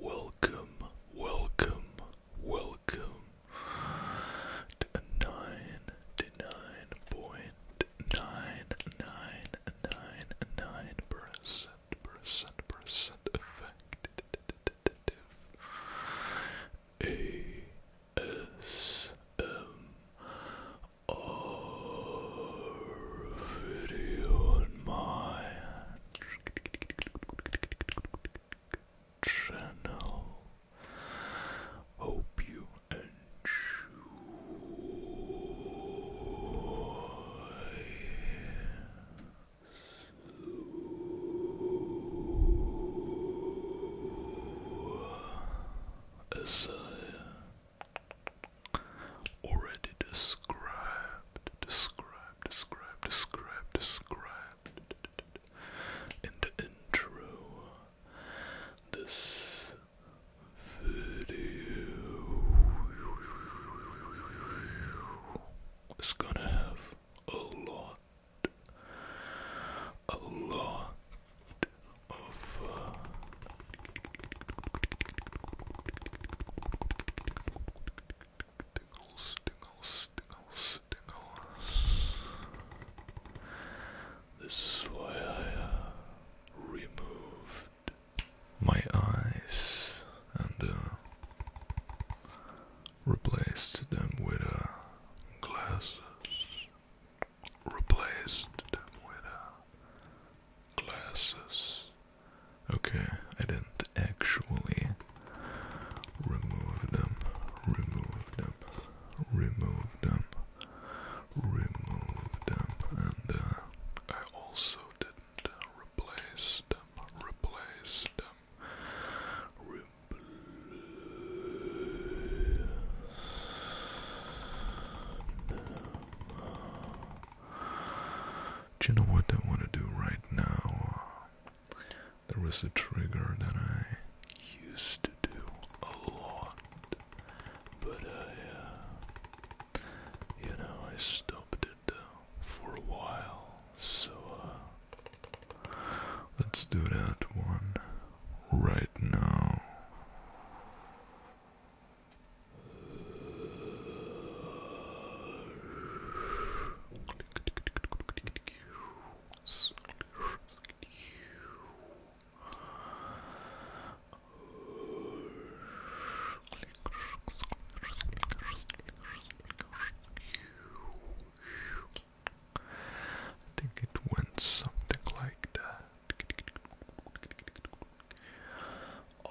Welcome, welcome, welcome to nine percent percent percent effective. A S M R video on my channel. Hope you enjoy. As I already described, described, described, described, described in the intro, this video is gonna have a lot, a lot of uh, tingles, tingles, tingles, This is why I uh, removed my eyes and uh, replaced them with uh, glasses. Replaced them with uh, glasses. Okay, I didn't actually remove them, remove them, remove them, remove them, and I also did replace them, replace them, Do you know what I want to do right now? There is a trigger that I used to do a lot, but I uh, you know, I stopped it uh, for a while, so uh, let's do that one right now. I think it went something like that. Oh.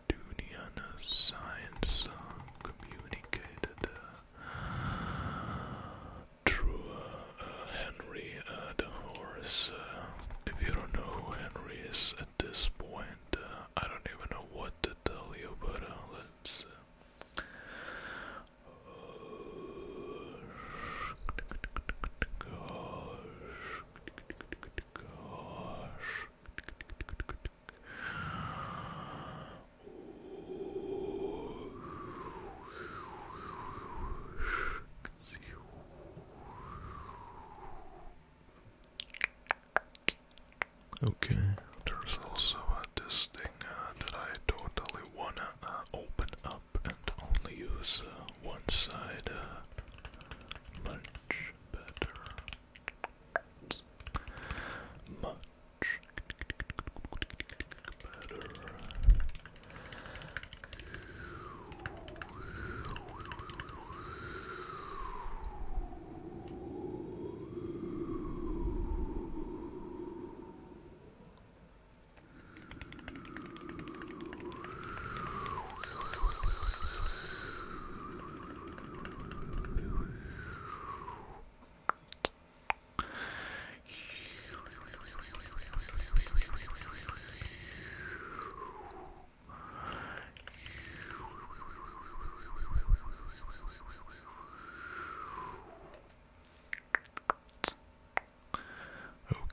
Neptunian science communicated uh, through uh, uh, Henry uh, the if you don't know who Henry is at this point, I don't even know what to tell you, but let's. Okay, there's also uh, this thing that I totally wanna uh, open up and only use uh, one side uh, much better. Much better.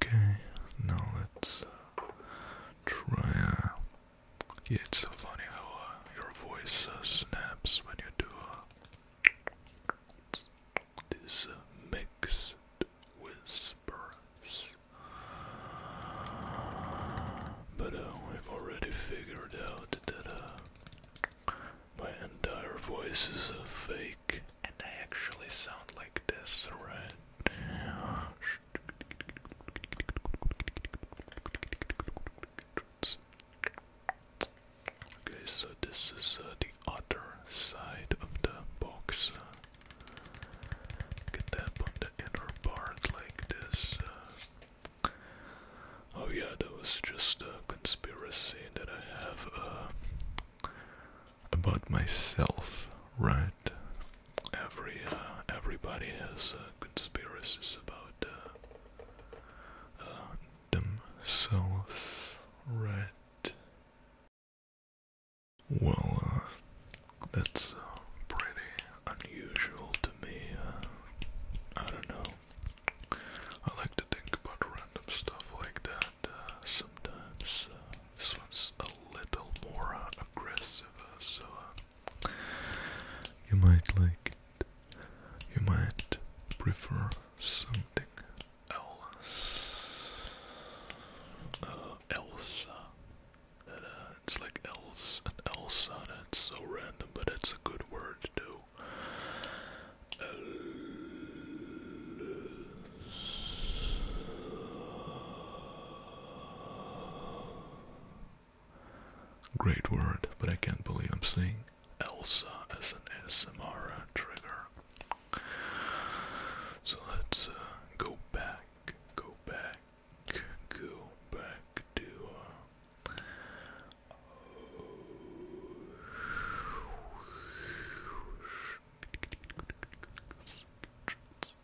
Okay, now let's uh, try it's so funny how uh, your voice uh, snaps when you do uh, this uh, mixed whispers. But uh, have already figured out that my entire voice is a fake, and I actually sound like this, right? Okay, so this is uh, the other side of the box. Uh, can on the inner part like this. Uh. oh yeah, that was just a conspiracy that I have uh, about myself, right? every uh, everybody has uh, conspiracies about uh, themselves, right? Well, that's pretty unusual to me. I don't know. I like to think about random stuff like that sometimes. this one's a little more aggressive, so. You might like it. You might prefer something else. Uh, Elsa. Uh, it's like else and Elsa. It's so random, but it's a good word too. Elsa. Great word, but I can't believe I'm seeing Elsa as an SMR trigger. So let's uh, go back, go back, go back to. Uh,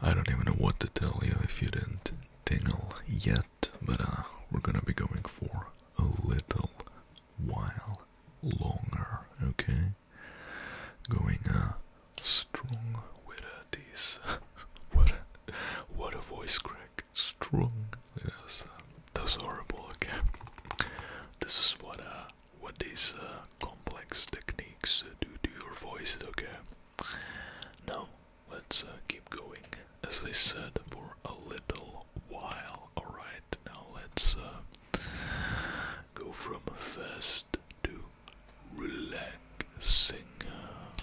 I don't even know what to tell you if you didn't tingle yet, but uh, we're gonna be going for a little while longer, okay? Going uh, strong with uh, what, what a voice crack! strong. Yes, that's horrible. Okay, this is what uh, what these uh, complex techniques uh, do to your voice. Okay, now let's uh, keep going. As I said, for a little while. All right, now let's uh, go from fast to relaxing. Uh,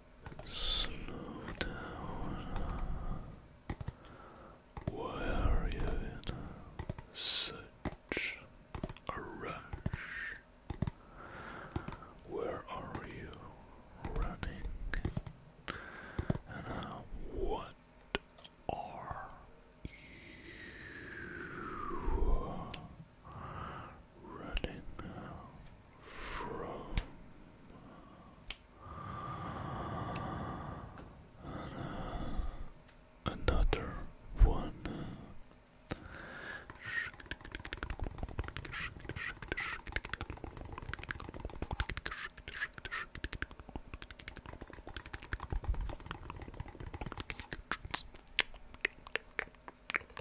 Slow down. Why are you in such a rush? Where are you running? And what are you running now? from another one.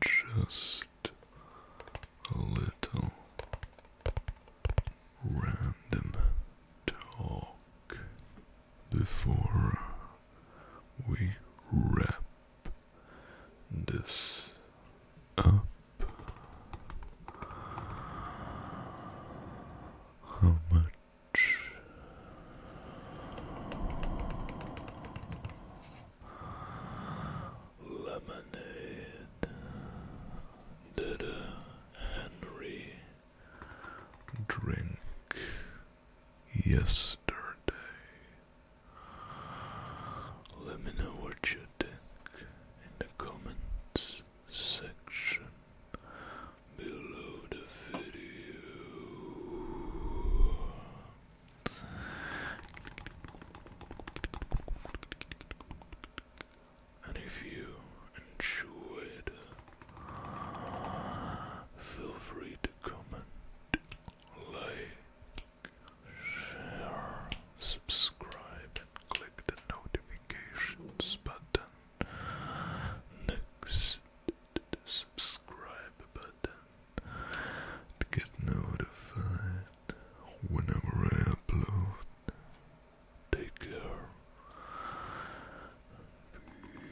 just a little random talk before we wrap this up. Lemonade, Dada Henry drink yesterday. Let me know what you think in the comments section below the video. And if you enjoyed, feel free to comment, like, share, subscribe, and click the notifications button next subscribe button to get notified whenever I upload. Take care. Peace.